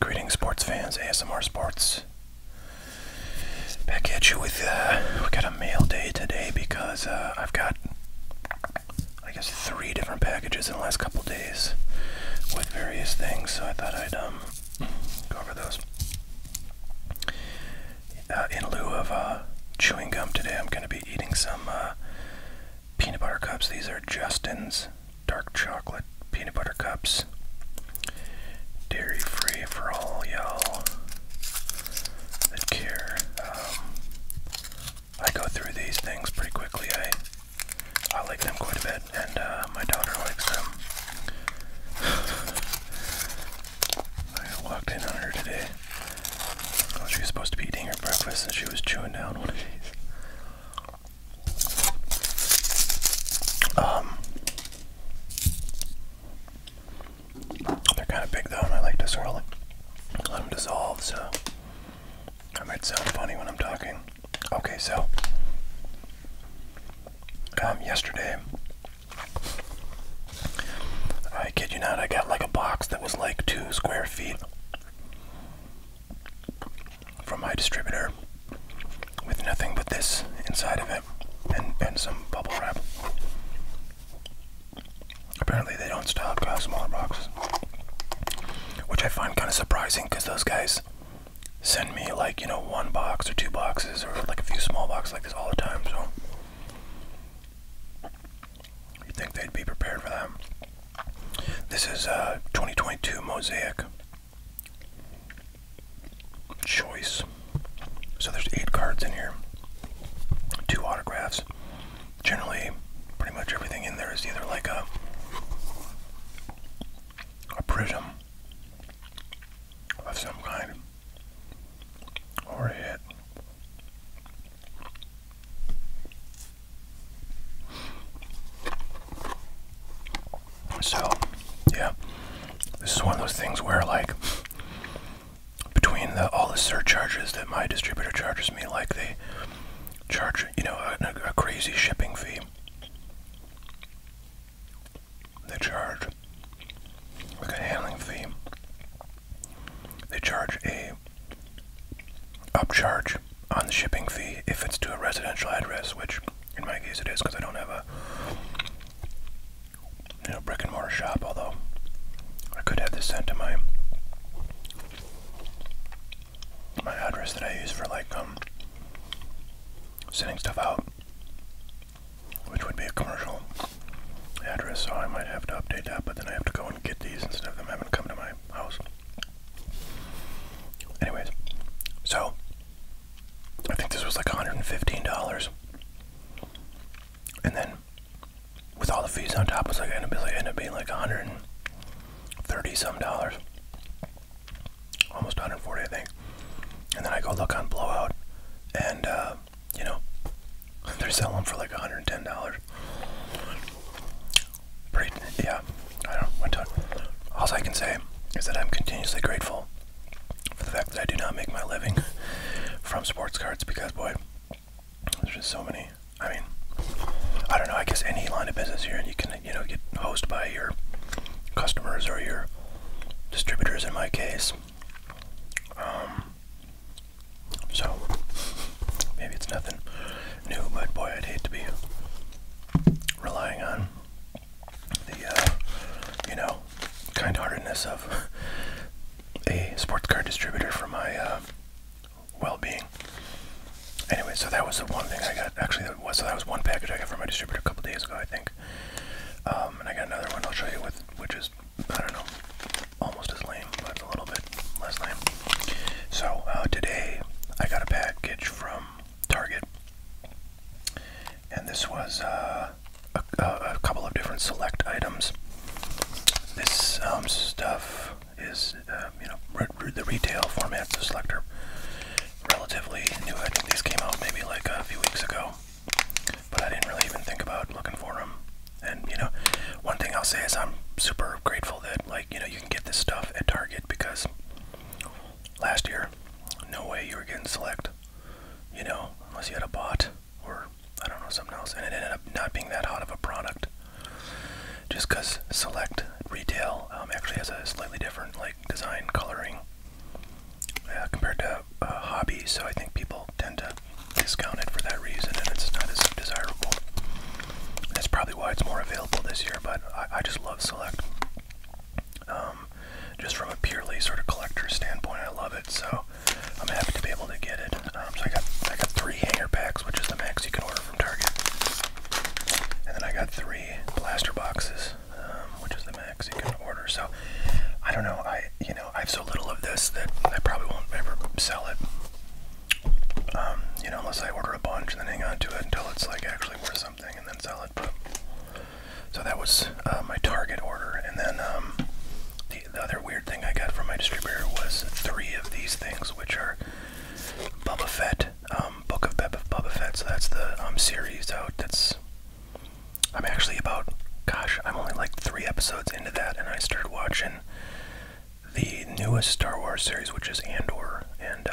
Greetings, sports fans, ASMR Sports. Back at you with, uh, we got a mail day today because uh, I've got, I guess, three different packages in the last couple days with various things, so I thought I'd um, go over those. Uh, in lieu of uh, chewing gum today, I'm going to be eating some uh, peanut butter cups. These are Justin's dark chocolate peanut butter cups. Dairy free for all y'all that care. Um, I go through these things pretty quickly. I I like them quite a bit, and my daughter likes them. I walked in on her today. Oh, she was supposed to be eating her breakfast and she was chewing down one of these. Um, they're kind of big though, and I like to swirl it. Let them dissolve, so I might sound funny when I'm talking. Okay, so um, yesterday I kid you not, I got like a box that was like two square feet from my distributor with nothing but this inside of it and, and some bubble wrap. Apparently, they don't stock uh, smaller boxes, which I find kind of surprising because those guys send me like you know one box or two boxes or like a few small boxes like this all the time so you think they'd be prepared for that this is a uh, 2022 mosaic choice so there's eight cards in here two autographs generally pretty much everything in there is either like a a prism of some kind or a So, yeah, this is one of those things where, like, between all the surcharges that my distributor charges me, like they charge, you know, a crazy shipping fee. They charge a handling fee. They charge a upcharge on the shipping fee if it's to a residential address, which in my case it is because I don't have a you know brick and mortar shop. Although I could have this sent to my my address that I use for like um sending stuff out which would be a commercial address, so I might have to update that, but then I have to go and get these instead of them having come to my house. Anyways, so I think this was like $115. And then with all the fees on top, it was like ended up, like, ended up being like 130 some dollars almost 140, I think. And then I go look on Blowout, and uh, you know, they're selling them for like 110 dollars. yeah. I don't All I can say is that I'm continuously grateful for the fact that I do not make my living from sports cards because, boy, there's just so many. I mean, I don't know. I guess any line of business here, and you can you know get hosed by your customers or your distributors in my case um, so maybe it's nothing new but boy I'd hate to be relying on the uh, you know kind-heartedness of a sports car distributor for my uh, well-being anyway so that was the one thing I got actually that was so that was one package I got from my distributor a couple days ago I think um, and I got another one I'll show you with, which is, I don't know, almost as lame, but a little bit less lame. So uh, today I got a package from Target. And this was uh, a, couple of different select items. This um, stuff is, uh, you know, the retail format, the selector relatively new. I think these came out maybe like a few weeks ago, but I didn't really even think about looking for them. And you know, one thing I'll say is I'm super grateful that like you know you can get this stuff at Target because last year, no way you were getting select. You know, unless you had a bot or I don't know something else, and it ended up not being that hot of a product. Just because select retail um, actually has a slightly different like like design, coloring, uh, compared to uh, hobbies. So I think people tend to discount it for that reason, and it's not as desirable. That's probably why it's more available this year. But I, I just love Select. Um, just from a purely sort of collector standpoint, I love it. So I'm happy to be able to get it. Um, so I got I got three hanger packs, which is the max you can order from Target, and then I got three blaster boxes. Um, which is the max you can order. So I don't know. I you know I have so little of this that I probably won't ever sell it. Um, you know, unless I order a bunch and then hang on to it until it's like actually worth something and then sell it. But so that was uh, my Target order, and then um, the, other weird thing I got from my distributor was three of these things, which are Bubba Fett um, Book of Beb Boba Fett, so that's the um, series out. That's I'm actually about, gosh, I'm only like three episodes into that, and I started watching the newest Star Wars series, which is Andor, and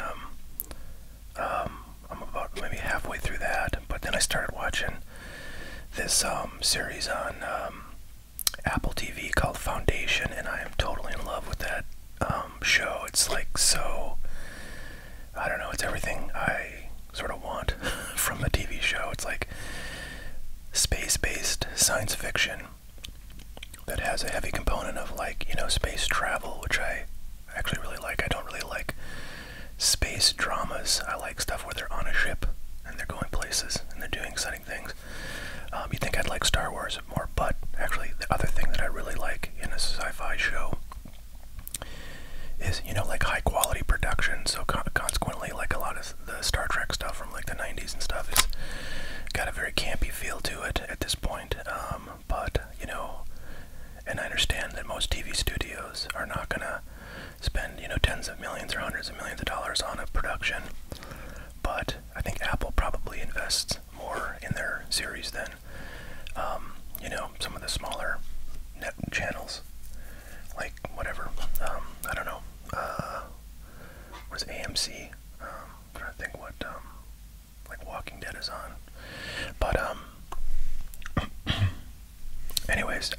um, I'm about maybe halfway through that. But then I started watching this series on Apple TV called Foundation, and I am totally in love with that um, show. It's like so. I don't know. It's everything I sort of want from a TV show. It's like space-based science fiction that has a heavy component of like you know space travel, which I actually really like. I don't really like space dramas. I like stuff where they're on a ship and they're going places and they're doing exciting things. Um, you think I'd like Star Wars? there's more, but actually, the other thing that I really like in a sci fi show is, you know, like high quality production. So, con consequently, like a lot of the Star Trek stuff from like the 90s and stuff is got a very campy feel to it at this point. Um, but, you know, and I understand that most TV studios are not going to spend, you know, tens of millions or hundreds of millions of dollars on a production. But I think Apple probably invests more in their series than um, you know some of the smaller net channels, like whatever. Um, I don't know. Uh, was AMC? Um, i trying to think what um, like Walking Dead is on, but anyways,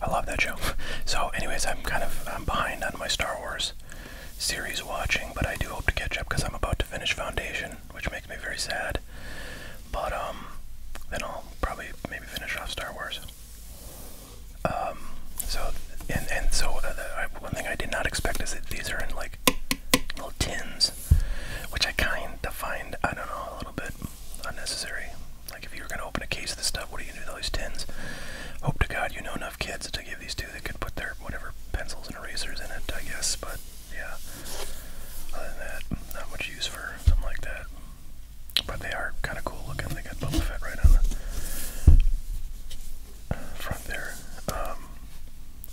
I love that show. So, anyways, I'm kind of I'm behind on my Star Wars series watching, but I do hope to catch up because I'm about to finish Foundation, which makes me very sad. But um, then I'll probably maybe finish off Star Wars. Um, so and and so uh, uh, one thing I did not expect is that these are in like little tins, which I kind of find I don't know a little bit unnecessary. Like if you were gonna open a case of this stuff, what are you gonna do with all these tins? Hope to God you know enough kids to give these to that could put their whatever pencils and erasers in it, I guess. But yeah, other than that, not much use for something like that. But they are kind of cool looking. They got Boba Fett right on the front there. Um,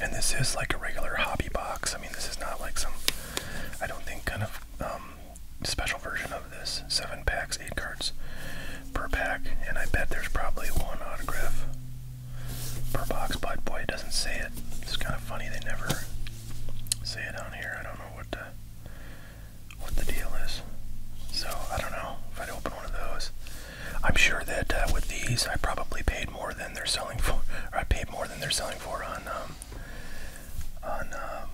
and this is like a regular hobby box. I mean, this is not like some. I don't think kind of um, special version of this. Seven packs, eight cards per pack, and I bet there's probably one autograph per box, but boy, it doesn't say it. It's kind of funny they never say it on here. I don't know what the, what the deal is. So I don't know if I'd open one of those. I'm sure that uh, with these, I probably paid more than they're selling for. Or I paid more than they're selling for on um, on um,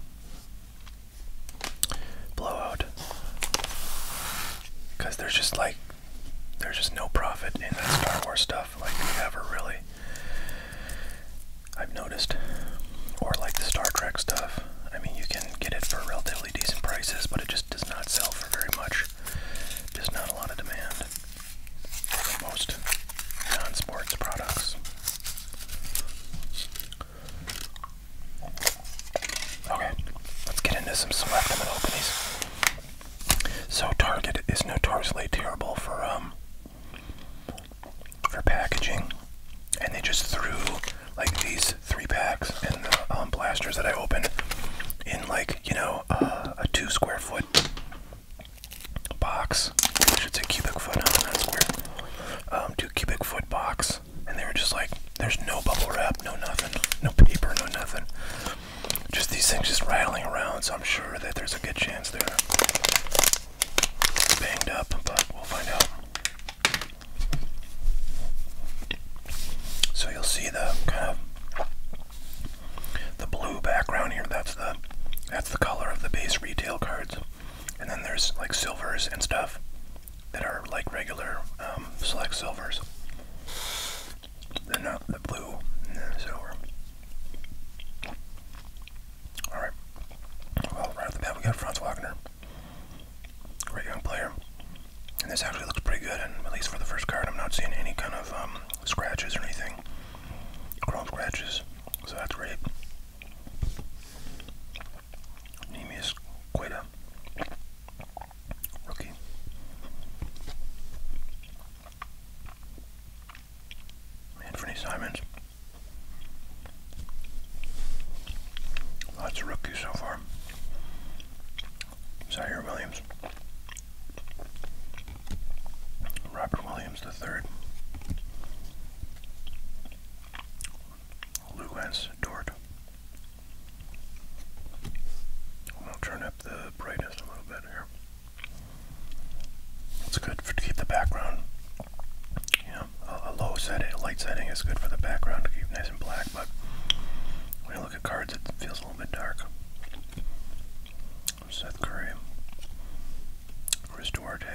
blowout because there's just like there's just no profit in that Star Wars stuff like ever really I've noticed or like the Star Trek stuff I mean you can get it for relatively decent prices but it just does not sell for very much there's not a lot of demand for most non-sports products Okay, let's get into some select. I'm open these. So Target is notoriously terrible for um for packaging, and they just threw like these three packs and the um, blasters that I opened in like you know uh, a two square foot box. should say cubic foot, not square. Um, two cubic foot box and they were just like, there's no bubble wrap, no nothing, no paper, no nothing. Just these things just rattling around, so I'm sure that there's a good chance they're banged up, but we'll find out. So you'll see the kind of the blue background here. That's the that's the color of the base retail cards. And then there's like silvers and stuff that are like regular um, select silvers. They're not the blue and the silver. Alright. Well, right off the bat, we got Franz Wagner. Great young player. And this actually looks pretty good, and at least for the first card, I'm not seeing any kind of um, scratches or anything. Chrome scratches, so that's great. Nemius Queta, rookie. Anthony Simons. Lots of rookies so far. Zaire Williams. Robert Williams the third. Luance Dort. We'll turn up the brightness a little bit here. It's good to keep the background. You know, a, low setting, a light setting is good for the background to keep nice and black, but when you look at cards, it feels a little bit dark. Seth Curry, Chris Duarte,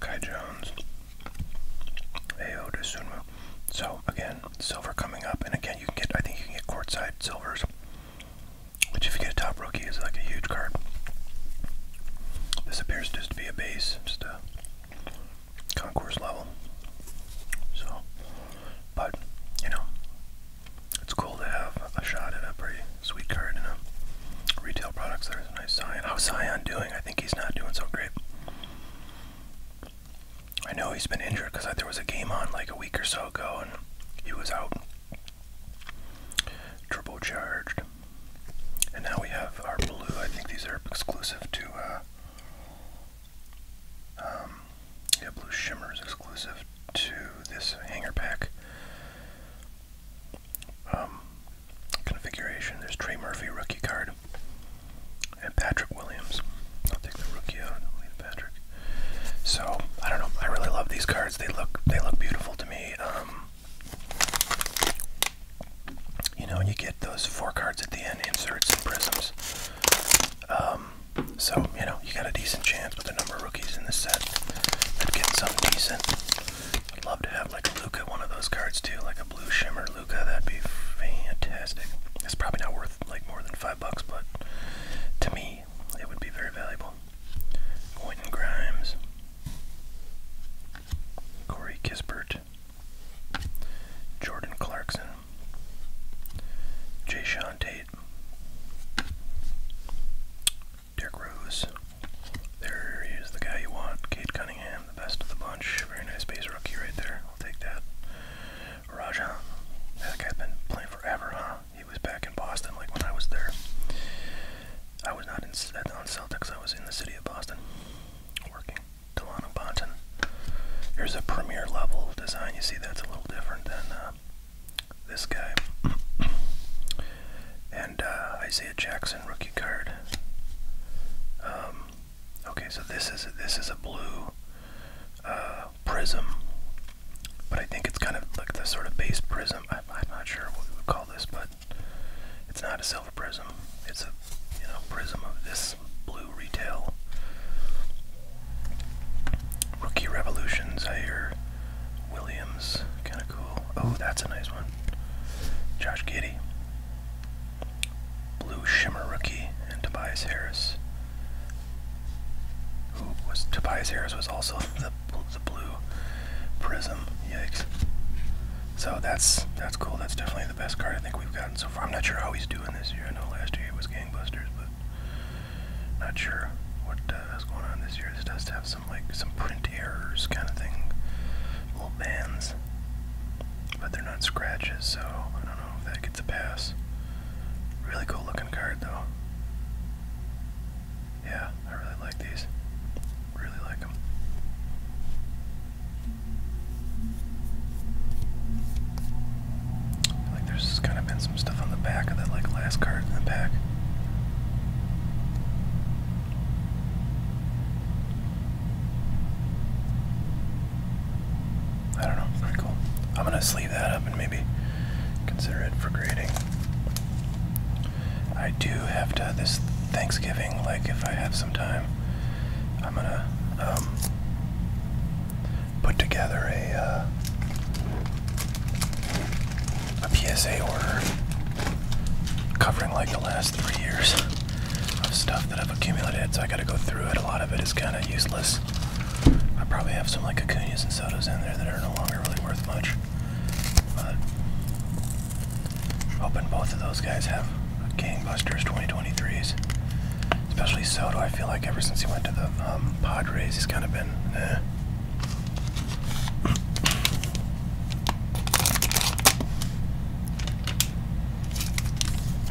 Kai Jones, Ayo Sunmu. So again, silver coming up, and again you can get I think you can get quartzite silvers, which if you get a top rookie is like a huge card. This appears just to be a base, just a concourse level. So, but you know, it's cool to have a shot at a pretty Sweet card in a retail products. There's a nice Zion. How's Zion doing? I think he's not doing so great. I know he's been injured because there was a game on like a week or so ago and he was out. charged. And now we have our blue. I think these are exclusive to. Uh, um, yeah, Blue Shimmer is exclusive to this hanger pack. Um, configuration. There's Trey Murphy rookie card and Patrick Williams. I'll take the rookie out. leave Patrick. So I don't know. I really love these cards. They look they look beautiful to me. Um, you know, and you get those four cards at the end, inserts and prisms. Um, so you know, you got a decent chance with a number of rookies in the set. to get some decent I'd love to have like a Luca one of those cards too, like a blue shimmer Luca. That'd be fantastic. It's probably not worth like more than five bucks, but to me, it would be very valuable. Quentin Grimes, Corey Kispert, Jordan Clarkson, Jay Sean Tate, Derrick Rose. is the guy you want. Kate Cunningham, the best of the bunch. Very nice base rookie right there. I'll take that. Rajon. That guy's been playing forever, huh? He was back in Boston like when I was there. I was not in, on Celtics. I was in the city of Boston working. Delano Bonton. Here's a premier level design. You see that's a little different than uh, this guy. and uh, Isaiah Jackson rookie card. Um, okay, so this is this is a blue uh, prism, but I think it's kind of like the sort of base prism. I, am not sure what we would call this, but it's not a silver prism. It's a you know prism of this blue retail. Rookie revolutions. I hear Williams kind of cool. Oh, that's a nice one. Josh Giddy. Blue Shimmer rookie and Tobias Harris. Who was Tobias Harris was also the the blue prism. Yikes. So that's that's cool. That's definitely the best card I think we've gotten so far. I'm not sure how he's doing this year. I know last year he was gangbusters, but not sure what uh, is going on this year. does have like some print errors kind of thing, little bands, but they're not scratches, so I don't know if that gets a pass. Really cool looking card though. Yeah, I really like these. Really like them. I feel like there's kind of been some stuff on the back of that like last card in the pack. I don't know, pretty cool. I'm gonna sleeve that up and maybe consider it for grading. I do have to this Thanksgiving, like if I have some time, I'm gonna um, put together a uh, a PSA order covering like the last three years of stuff that I've accumulated, so I gotta go through it. A lot of it is kind of useless. I probably have some like Acuñas and Sotos in there that are no longer really worth much. But hoping both of those guys have gangbusters 2023s. Especially Soto, I feel like ever since he went to the um, Padres, he's kind of been eh.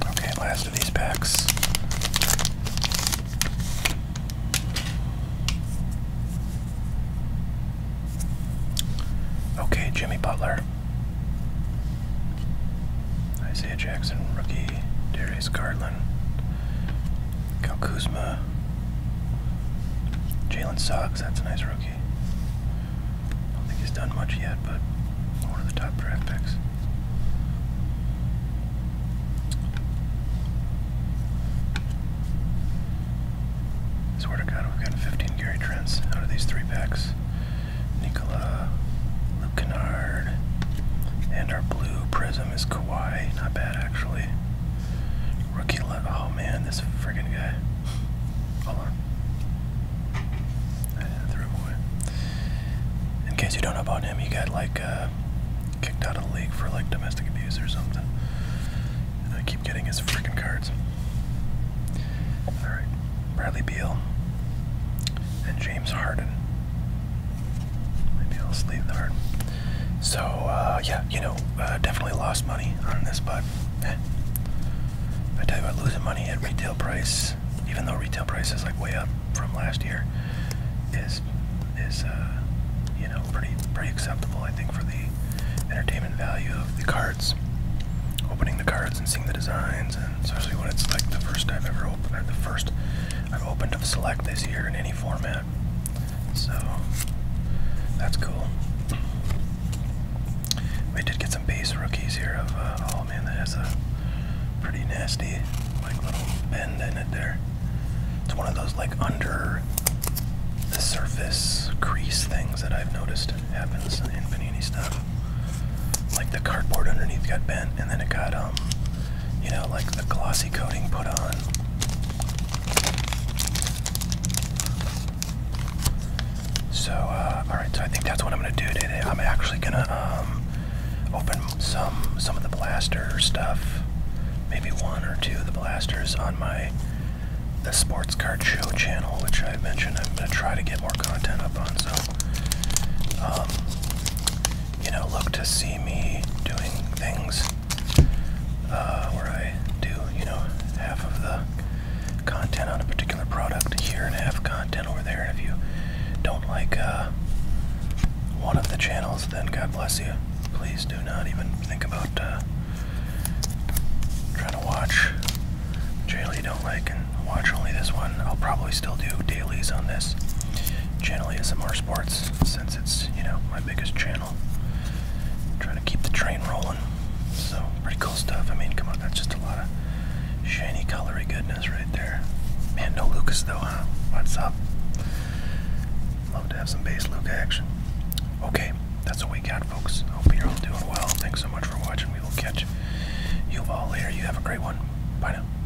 Okay, last of these packs. Okay, Jimmy Butler. Isaiah Jackson, rookie. Darius Garland. Kyle Kuzma. Jalen Suggs, that's a nice rookie. I don't think he's done much yet, but one of the top draft picks. I God, we've gotten 15 Gary Trents out of these three packs. Nicola, Luke and our blue prism him is Kawhi. Not bad, actually. Rookie let. Oh man, this friggin' guy. Hold on. I In case you don't know about him, he got like uh, kicked out of the league for like domestic abuse or something. And I keep getting his freaking cards. All right, Bradley Beal and James Harden. Maybe I'll sleeve the So uh, yeah, you know, uh, definitely lost money on this, but eh. I tell you about losing money at retail price, even though retail price is like way up from last year, is is uh, you know pretty pretty acceptable. I think for the entertainment value of the cards, opening the cards and seeing the designs, and especially when it's like the first I've ever opened, the first I've opened of Select this year in any format. So that's cool. We did get some base rookies here of uh, oh man that has a pretty nasty like little bend in it there. It's one of those like under the surface crease things that I've noticed happens in Panini stuff. Like the cardboard underneath got bent and then it got um you know, like the glossy coating put on. So, uh, alright, so I think that's what I'm going to do today. I'm actually going to um, open some, some of the blaster stuff, maybe one or two of the blasters on my the Sports Card Show channel, which I mentioned I'm going to try to get more content up on. So, um, you know, look to see me doing things uh, where I do, you know, half of the content on a particular product here and half content over there. And if you don't like uh, one of the channels, then God bless you. Please do not even think about uh, trying to watch channel you don't like and watch only this one. I'll probably still do dailies on this channel ASMR Sports since it's, you know, my biggest channel. trying to keep the train rolling. So, pretty cool stuff. I mean, come on, that's just a lot of shiny, colory goodness right there. Man, no Lucas though, huh? What's up? Love to have some base Luca action. Okay, that's all we got, folks. Hope you're all doing well. Thanks so much for watching. We will catch you all later. You have a great one. Bye now.